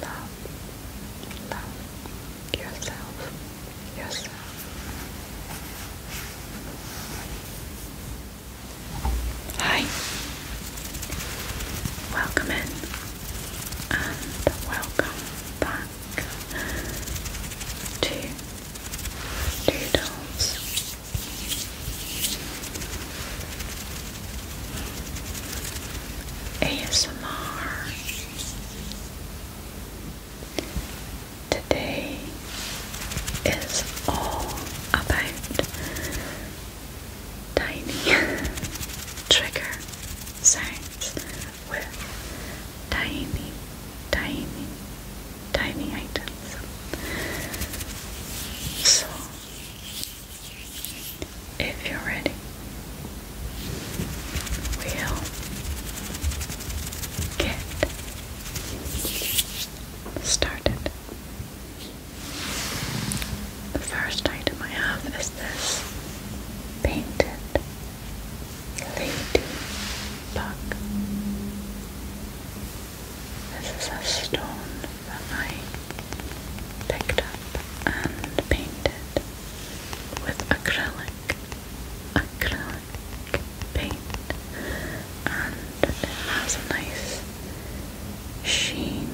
Love, love yourself, yourself. Hi, welcome in welcome back to Doodles ASMR. Today is all about tiny trigger sounds with tiny, tiny tiny items. So, if you're ready, we'll get started. The first item I have is this painted lady this is a stone that I picked up and painted with acrylic, acrylic paint, and it has a nice sheen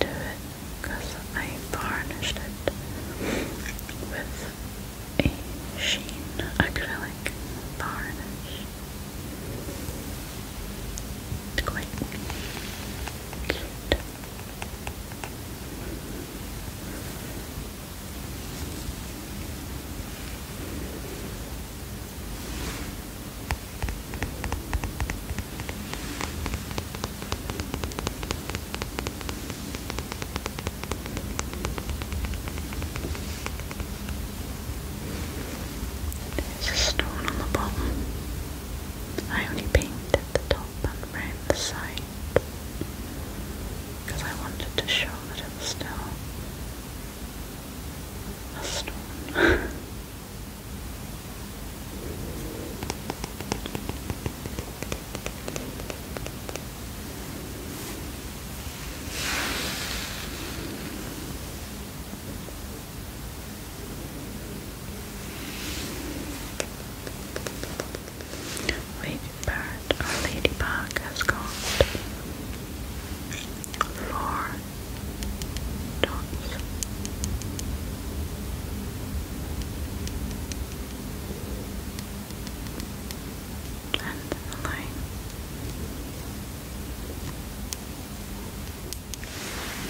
to it because I varnished it with a sheen acrylic varnish. Quite cute. There's a stone on the bottom. I only painted the top and round the sides because I wanted to show that it was a stone. Lady Bird Ladybug has got four dots. And a line.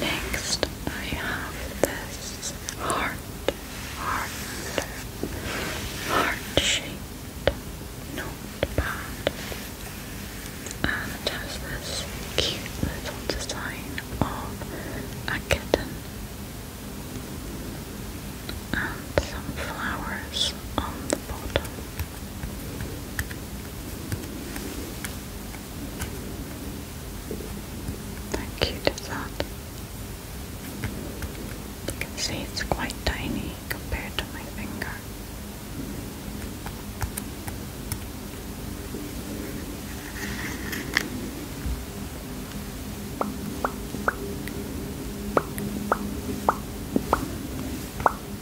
Next, I have this heart, heart, heart-shaped notepad, and has this cute little design of a kitten and some flowers on the bottom. How cute is You can see it's quite tiny compared to my finger.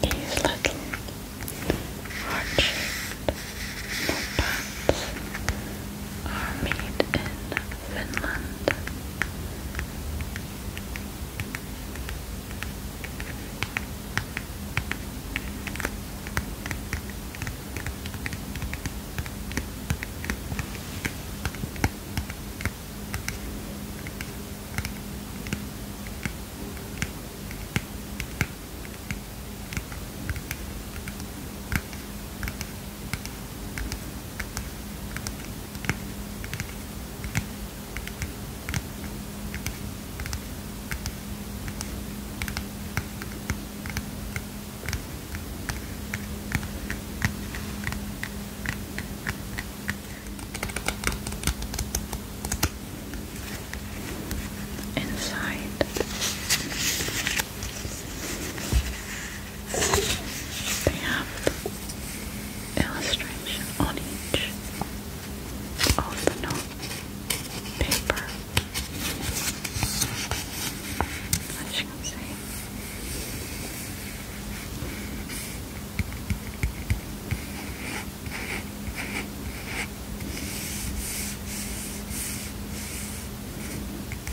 These little heart Puppets are made in Finland. Inside they have the illustration on each of the note paper. As you can see.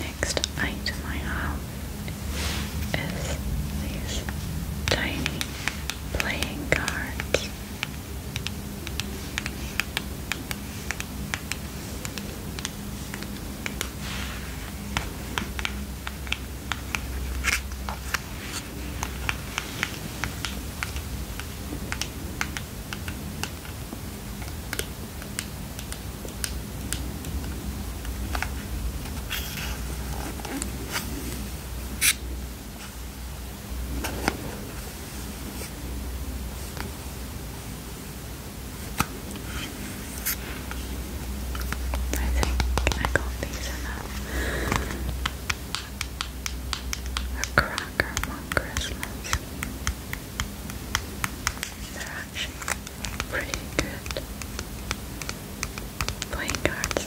Next item I have is these tiny playing cards. I think I got these enough. A cracker one Christmas. They're actually pretty good playing cards.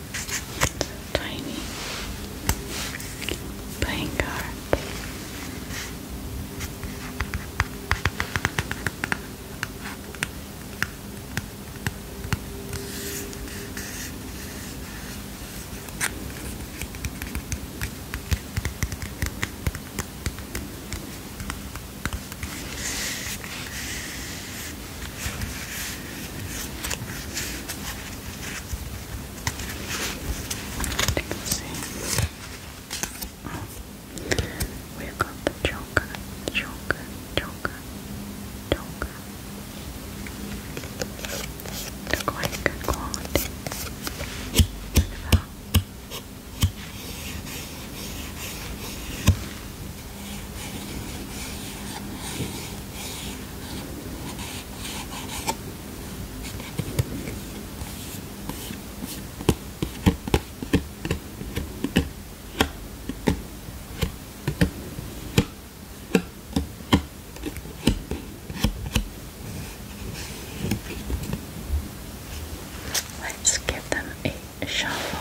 tiny playing you we got the choker, choker, choker, choker. They're quite good quality. Let's give them a shuffle.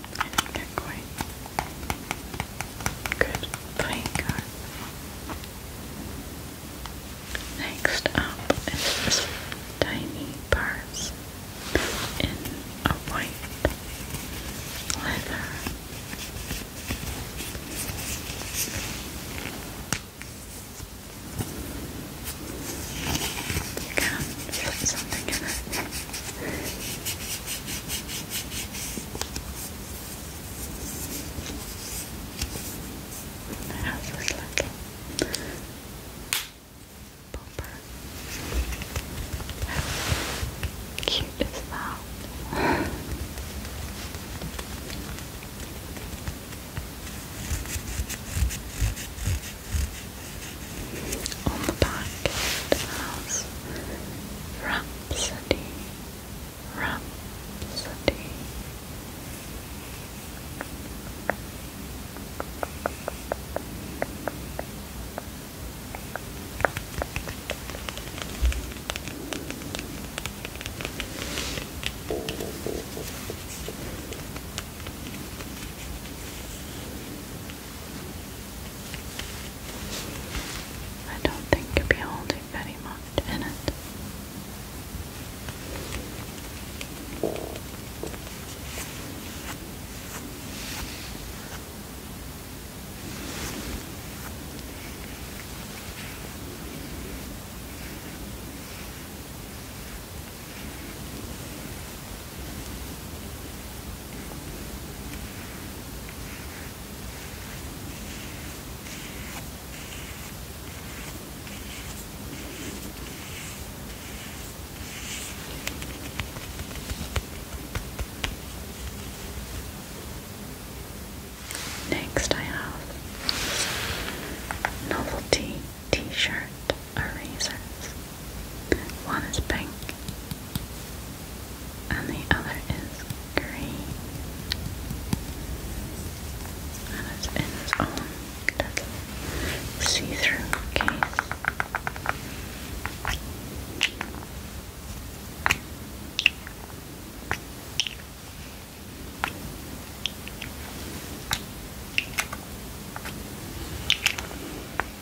I good playing cards. Next up is this tiny purse in a white leather. You can fit something in it. How's this looking? Bumper. How cute is that? On the back it has Rhapsody, Rhapsody. I don't think you'll be holding very much in it. Next, I have novelty t shirt erasers. One is pink and the other is green. And it's in see-through case.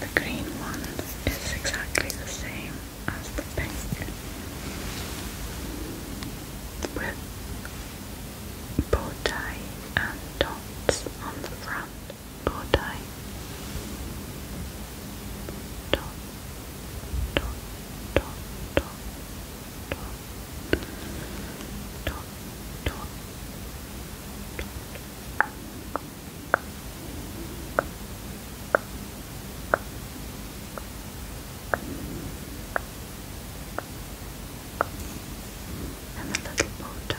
The green one is exactly the same as the pink, with bow tie and dots on the front. Bow tie, dot, dot, dot, dot, dot, dot, dot. dot and a little bow tie.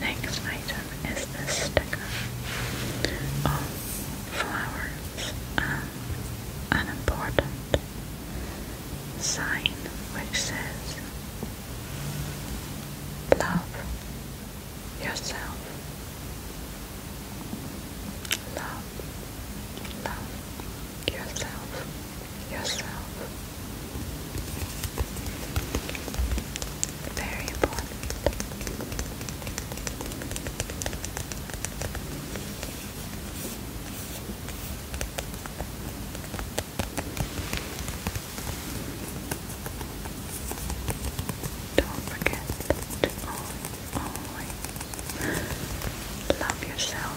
Next item is this sticker of flowers um, an important sign which says Love yourself. Love, love yourself, yourself. Very important. Don't forget to always, love yourself.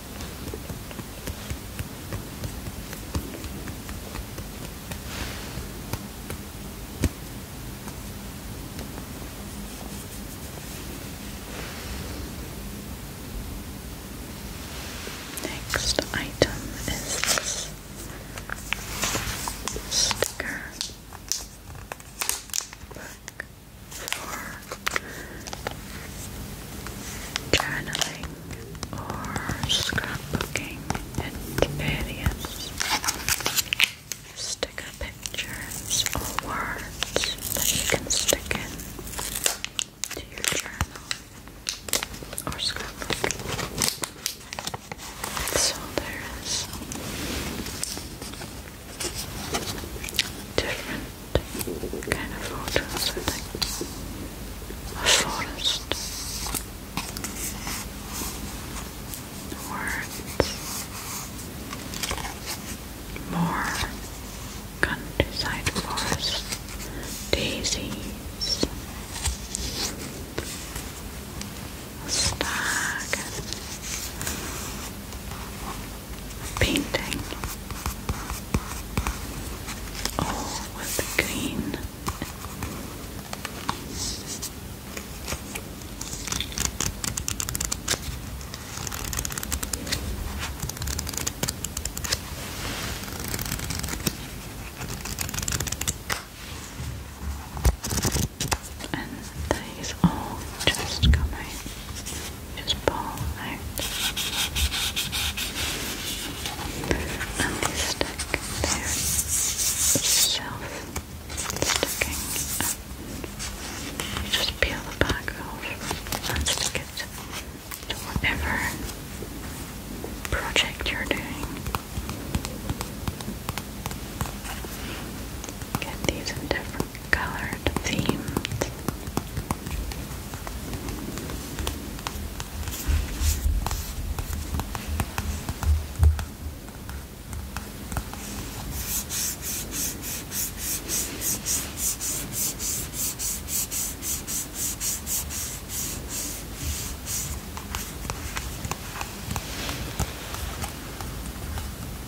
Next item is this sticker for journaling or scrapbooking and various sticker pictures or words that you can stick in to your journal or scrapbook. So there is different kind of photos, I think. A forest. Words. More countryside forest. Daisies. stag painting, all with green. And these all just come just pull out and you stick there yourself sticking just peel the back off and stick it to whatever project you're doing get these different colored themed.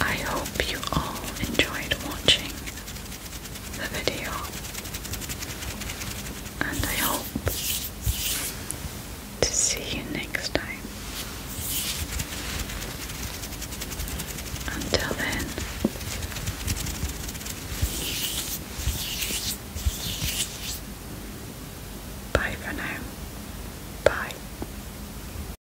I hope you all enjoyed watching the video and I hope to see you next time. Until then, bye for now. Bye.